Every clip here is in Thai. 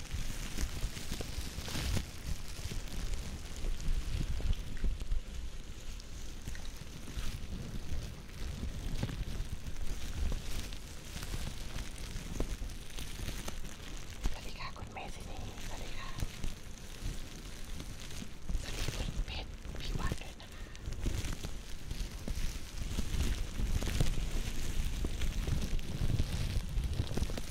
สวัสดีค่ะ คุณเมซินีสวัสดีค่ะ สวัสดีคุณเพชรพี่วัดด้วยนะคะส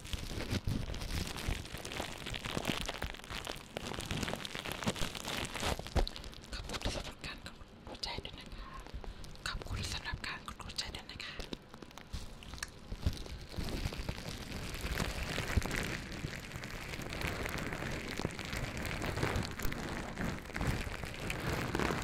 ขอบคุณสำหรับการกดหัวใจด้วยนะคะ ขอบคุณสำหรับการกดหัวใจด้วยนะคะ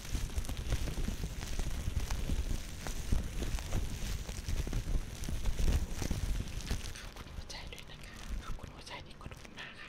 หัวใจด้วยนะคะขอบคุณหัวใจที่กดลงมาค่ะ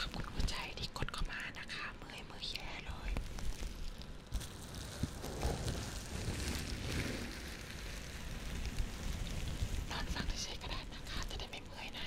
ขอบคุณหัวใจที่กดเข้ามานะคะเมื่อยมือแย่เลยนอนฟังเฉยๆก็ได้นะคะจะได้ไม่เมื่อยนะ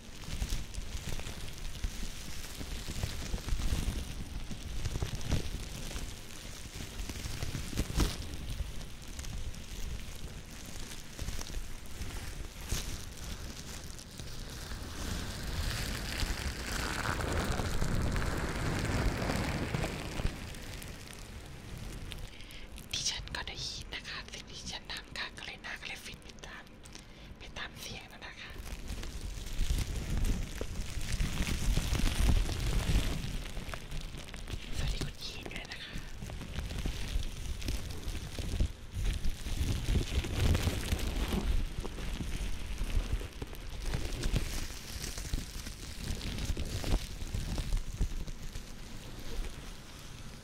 ดิฉันก็ได้ยินนะคะสิ่งที่ฉันทดังค่ะก็เลยหน้าก็เลยฟิตไปตามไปตามเสียงนั่นนะคะสวัสดีคุณยีนด้วยนะคะ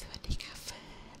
สวัสดีค่ะเฟิร์น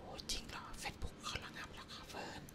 โอ้จริงเหรอเฟซบุ๊กเขาระงับแล้วค่ะเฟิร์น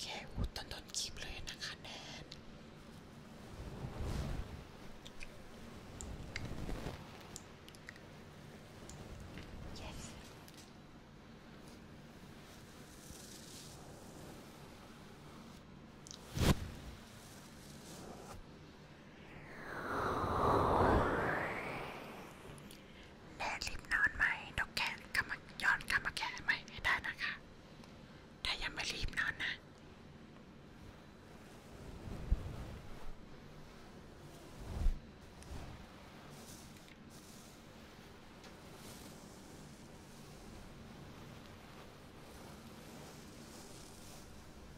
แค่พูดต้นต้นคลิปเลยนะคะแนนแม่รีบนอนไหมนกแขนกำมาย้อนกำมาแขนไหมให้ได้นะคะแต่ยังไม่รีบนอนนะ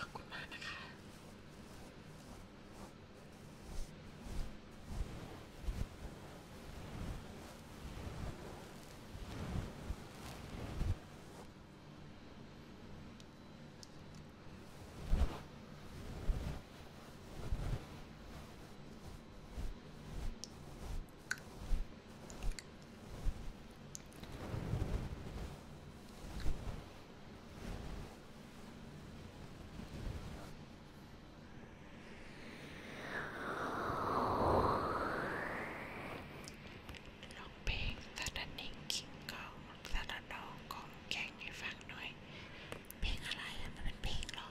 ขอบคุณมากนะคะร้องเพลงซาดานิงคิงกองซาดาดองกองแข่งให้ฟังหน่อยเพลงอะไรอะมันเป็นเพลงหรอ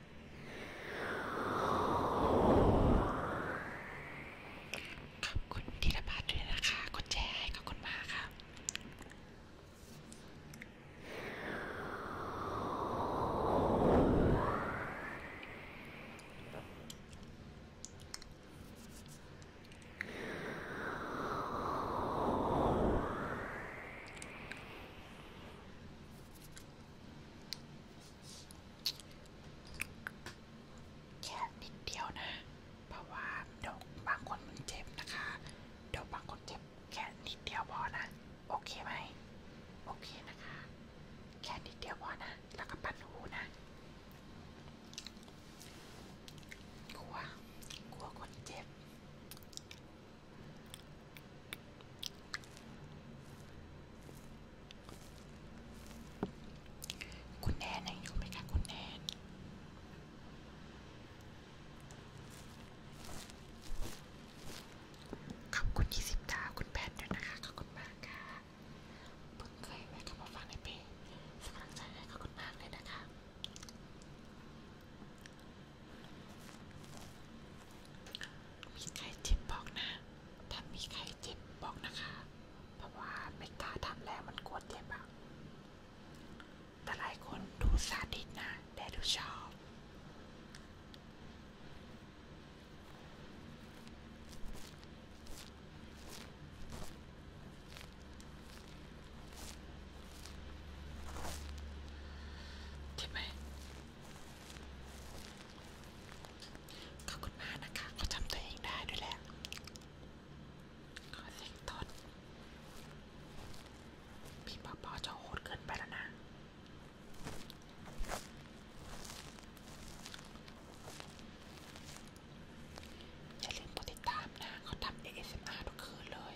ขอบคุณธีรพัฒน์ด้วยนะคะ กดแชร์ให้ขอบคุณมากค่ะแค่นิดเดียวนะ เพราะว่าเดี๋ยวบางคนมันเจ็บนะคะเดี๋ยวบางคนเจ็บแค่นิดเดียวพอนะ โอเคไหมโอเคนะคะ แค่นิดเดียวพอนะ แล้วก็ปั้นหูนะกลัวกลัวคนเจ็บคุณแนนไหนอยู่ไหมคะคุณแนนขอบคุณที่สิบดาวคุณแพทด้วยนะคะขอบคุณมากค่ะ เพิ่งเคยแวะเข้ามาฟังในเพลงสมัครใจให้ขอบคุณมากเลยนะคะมีใครทิปบอกนะถ้ามีใครเจ็บบอกนะคะ เพราะว่าไม่กล้าทำแล้วมันกลัวเจ็บอะแต่หลายคนดูซาดิสนะแต่ดูชอบขอบคุณมากนะคะเขาจำตัวเองได้ด้วยแหละขอเสียงต้น พี่ปอปอจะโหดเกินไปแล้วนะ อย่าลืมกดติดตามนะเขาทำ ASMR ทุกคืนเลย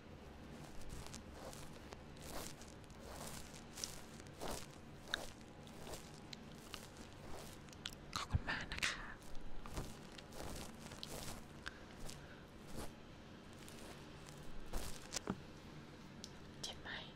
ขอบคุณมากนะคะเจ็บไหมเ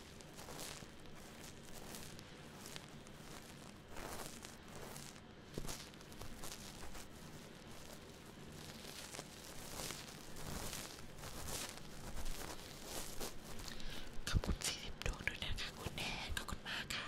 ขอบคุณ40ดวงด้วยนะคะคุณแนนขอบคุณมากค่ะ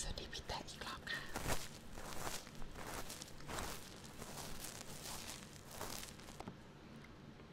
สวัสดีพี่แตะอีกรอบค่ะ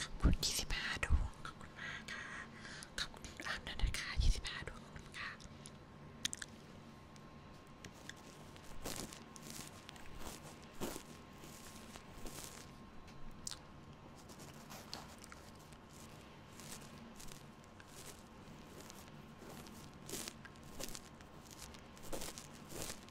ขอบคุณยี่สิบห้าดวงขอบคุณมากค่ะขอบคุณอ่านด้วยนะคะยี่สิบห้าดวงขอบคุณค่ะข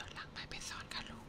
จดหลังไปไปสอนกันลูก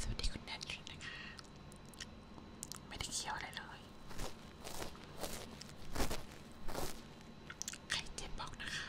สวัสดีคุณแนทชนนะคะ ไม่ได้เคี้ยวอะไรเลยใครเจ็บบอกนะคะ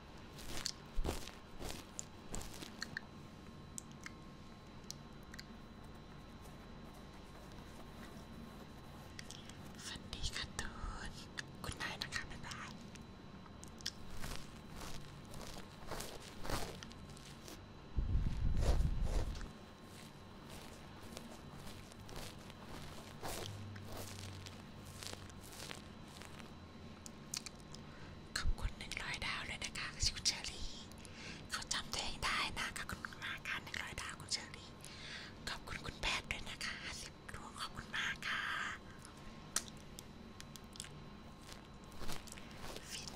ฝันดีค่ะตูนคุณนายนะคะบ๊ายบายเขอบคุณหนึ่งร้อยดาวเลยนะคะ คุณเชอรี่เขาจำตัวเองได้นะขอบคุณมากค่ะหนึ่งร้อยดาวคุณเชอรี่ขอบคุณคุณแพทย์ด้วยนะคะสิบดวงขอบคุณมากค่ะ ฟิน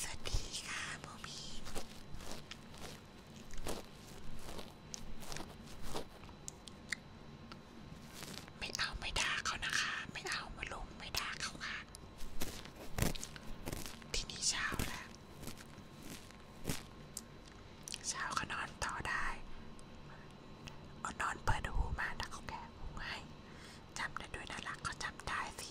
สวัสดีค่ะ โมมีไม่เอาไม่ด่าเขานะคะ ไม่เอามาลงไม่ด่าเขาค่ะ ที่นี่เช้าแล้วเช้าก็นอนต่อได้เอานอนเปิดหูมาถ้าเขาแก่หูให้จำได้ด้วยน่ารักเขาจำได้สิ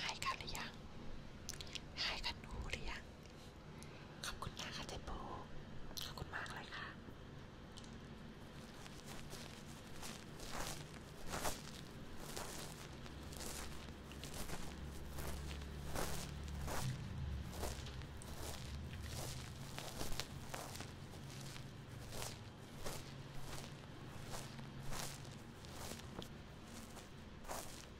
หายกันหรือยังหายกันหนูหรือยัง ขอบคุณมากค่ะเจโปขอบคุณมากเลยค่ะ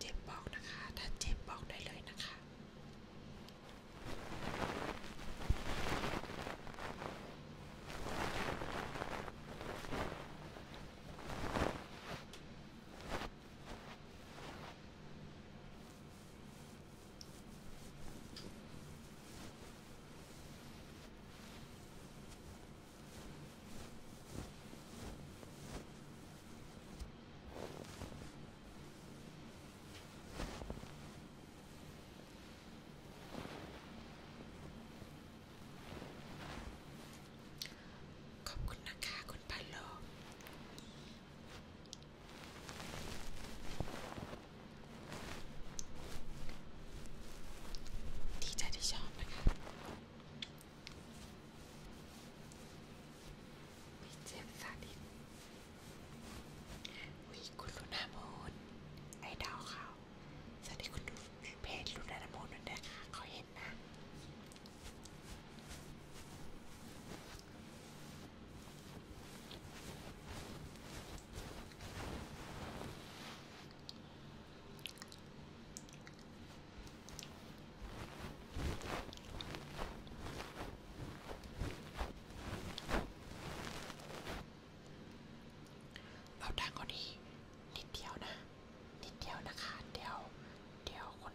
เจ็บบอกนะคะ ถ้าเจ็บบอกได้เลยนะคะขอบคุณนะคะคุณพันโลดีใจที่ชอบนะคะพี่เจมสาดินวิคุณลุนามูนไอดาวเขา สวัสดีคุณดูเพจลุนามูนด้วยนะคะเขาเห็นนะเอาดังกว่านี้นิดเดียวนะนิดเดียวนะคะเดี๋ยวเดี๋ยวคน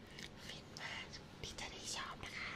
ฟินมากที่จะได้ชอบนะคะ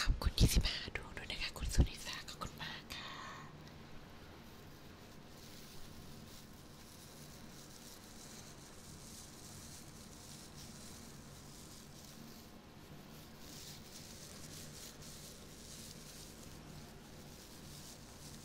ขอบคุณที่สิบห้าดวงด้วยนะคะคุณสุนิสาขอบคุณมากค่ะข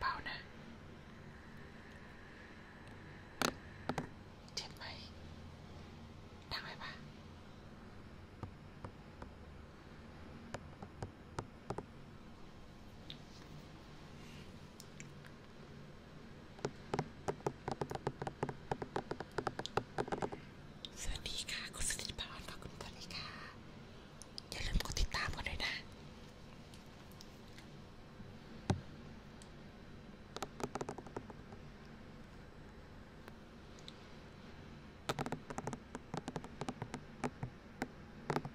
เบาๆนะ เจ็บไหมดังไหมปะสวัสดีค่ะคุณสุธิพรขอบคุณสวัสดีค่ะอย่าลืมกดติดตามกันด้วยนะส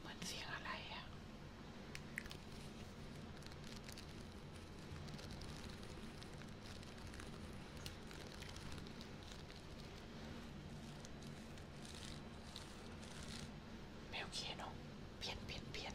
เหมือนเสียงอะไรอ่ะไม่โอเคเนาะ เปลี่ยนเปลี่ยนเปลี่ยน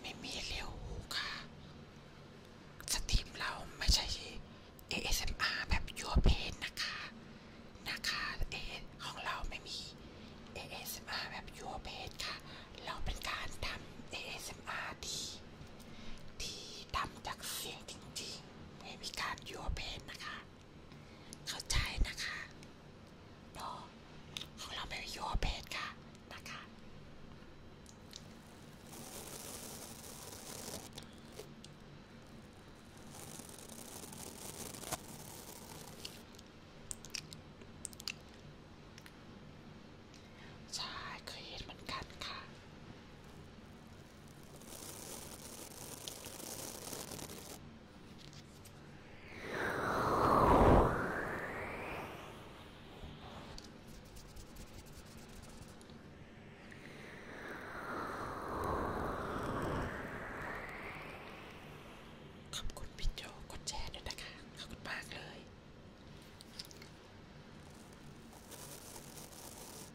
ไม่มีเลี้ยวหูค่ะ สตรีมเราไม่ใช่ ASMR แบบยัวเพนนะคะนะคะเอของเราไม่มี ASMR แบบยัวเพนค่ะ เราเป็นการทำ ASMR ที่ ที่ทำจากเสียงจริงๆไม่มีการยัวเพนนะคะเข้าใจนะคะเนาะของเราไม่มียูเพจค่ะ นะคะ ใช่เคยเห็นเหมือนกันค่ะขอบคุณพี่โจกดแชร์ด้วยนะคะ ขอบคุณมากเลย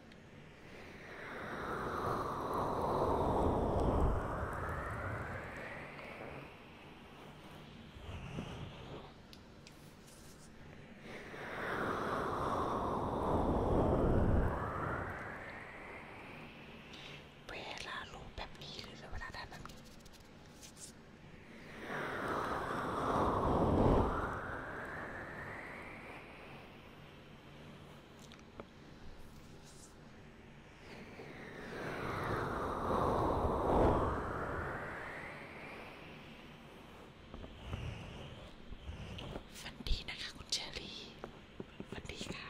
เวลาลูกแบบนี้หรือเวลาทำแบบนี้ฝันดีนะคะคุณเชอรี่ฝันดีค่ะ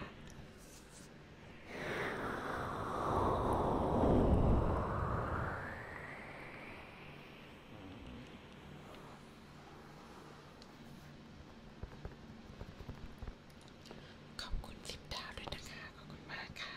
ขอบคุณสิบดาวด้วยนะคะขอบคุณมากค่ะ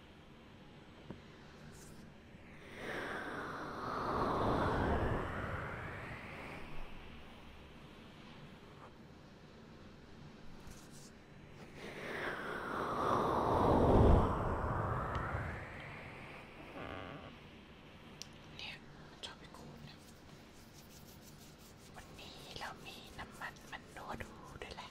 เนี่ยชอบไปกูเนี่ยวันนี้เรามีน้ำมันมันนัวดูด้วยแหละ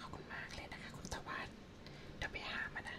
ขอบคุณมากเลยนะคะ คุณตะวันเดี๋ยวไปหามานะ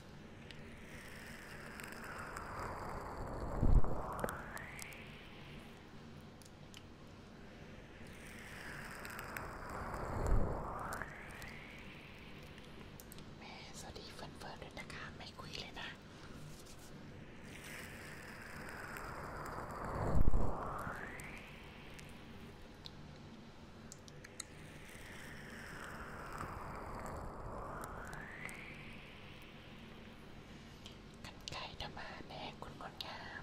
แม่สวัสดีเฟิร์นเฟิร์นด้วยนะคะ ไม่คุยเลยนะกันไก่จะมาแน่คุณงดงาม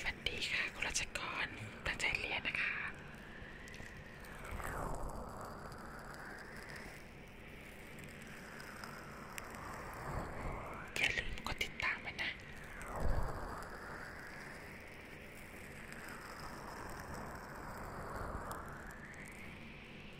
ฝันดีค่ะคุณราชกรตั้งใจเรียนนะคะอย่าลืมกดติดตามมันนะ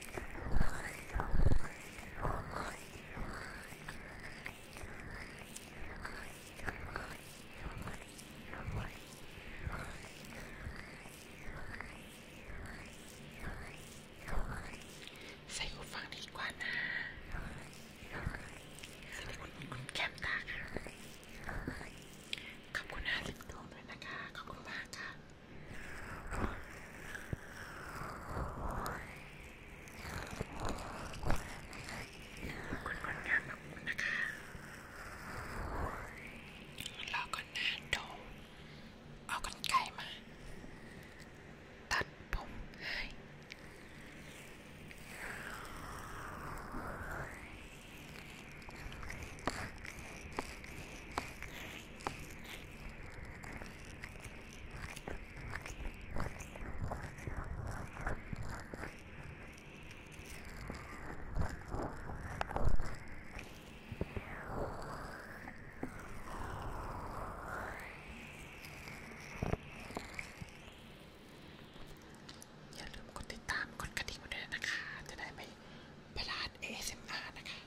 ใส่หูฟังดีกว่านะสิริคุณคุณแคมตาค่ะขอบคุณห้าสิบดวงด้วยนะคะ ขอบคุณมากค่ะคุณคนงานขอบคุณนะคะรอก่อนนะโดเอากันไกลมา ตัดผมให้อย่าลืมกดติดตามกดกระดิ่งมาด้วยนะคะ จะได้ไม่พลาด ASMR นะคะ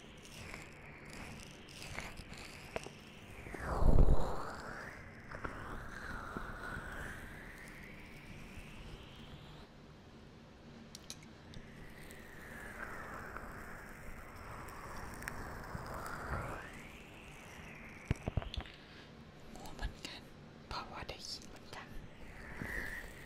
งูเหมือนกันเพราะว่าได้ยินเหมือนกัน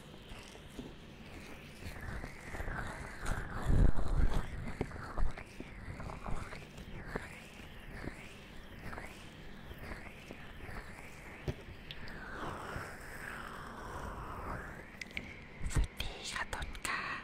สวัสดีค่ะต้นกาส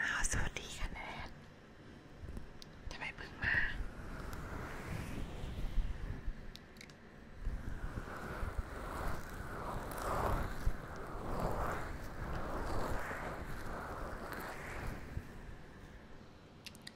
อ้าวสวัสดีค่ะแนนทำไมเพิ่งมาอ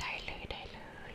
ได้เลยได้เลย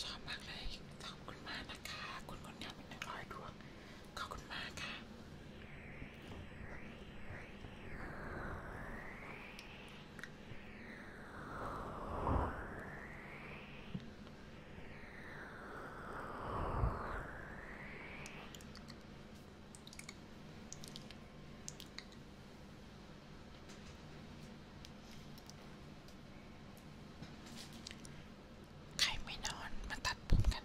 ชอบมากเลย ขอบคุณมากนะคะ คุณคนงามเป็นหนึ่งร้อยดวงขอบคุณมากค่ะสใครไม่นอนมาตัดผมกัน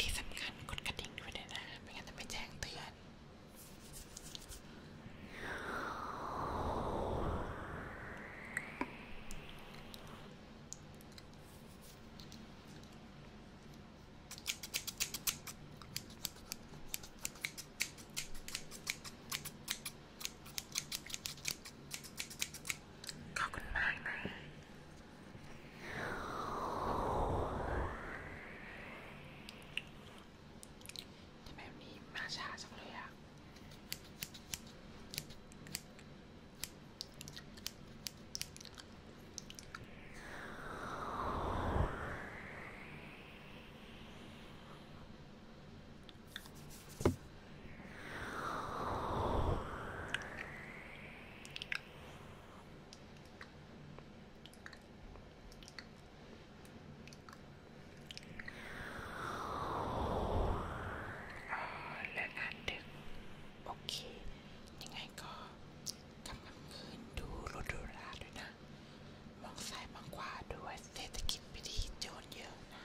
ที่สำคัญกดกระดิ่งด้วยนะไม่งั้นจะไม่แจ้งเตือนขอบคุณมากนะทำไมวันนี้มาช้าจังเลยอะเลิกงานดึกโอเคยังไงก็กำลังคืนดูรถดูราด้วยนะมองซ้ายมองขวาด้วยเศรษฐกิจไม่ดีโจรเยอะนะ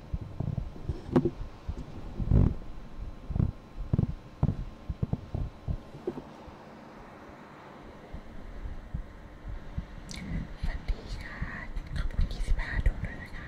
ฝันดีค่ะขอบคุณที่สิบห้าดวงด้วยนะคะ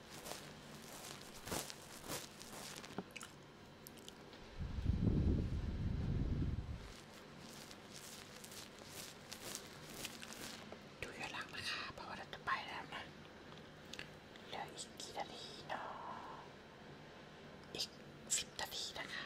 ดูย้อนหลังนะคะเพราะว่าเราจะไปแล้วนะเหลืออีกกี่นาทีเนาะอีกสิบนาทีนะคะ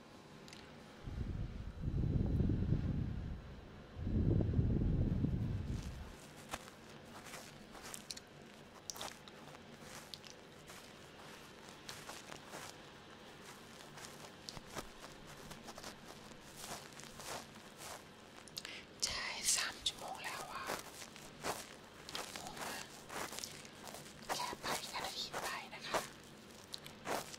ใช่สามชั่วโมงแล้วอ่ะงงนะแค่ไปกันอาทิตย์ไปนะคะ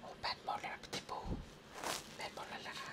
โอ้แบนหมดแล้วพี่ปูแบนหมดแล้วล่ะค่ะ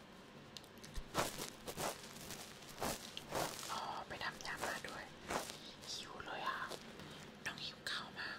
อ๋อไปทำยามาด้วยหิวเลยอ่ะน้องหิวข้าวมาก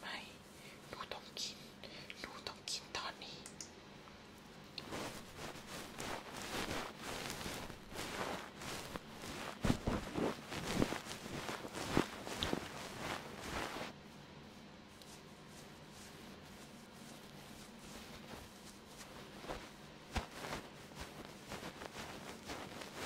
ไม่หนูต้องกินหนูต้องกินตอนนี้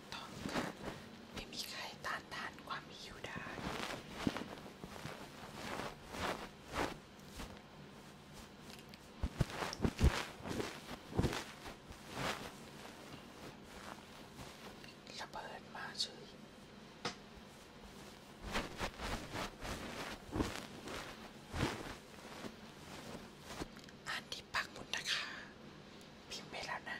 ถูกต้องค่ะไม่มีใครต้านทานความหิวได้ระเบิดมาเฉยอ่านที่ปักหมุดนะคะ พิมพ์ไปแล้วนะ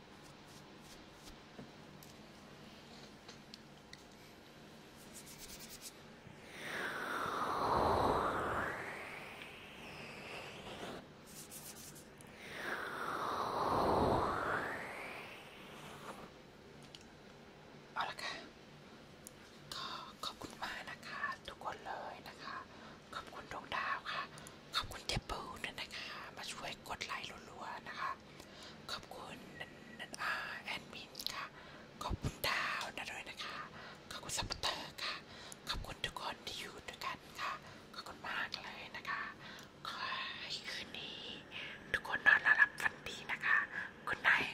เอาละค่ะ ก็ขอบคุณมากนะคะ ทุกคนเลยนะคะ ขอบคุณดวงดาวค่ะ ขอบคุณเทปเปิลด้วยนะคะ มาช่วยกดไลค์รัวๆนะคะขอบคุณนันอาแอนมินค่ะขอบคุณดาวนะด้วยนะคะขอบคุณซัพเตอร์ค่ะขอบคุณทุกคนที่อยู่ด้วยกันค่ะขอบคุณมากเลยนะคะขอให้คืนนี้ทุกคนนอนหลับฝันดีนะคะคุณนาย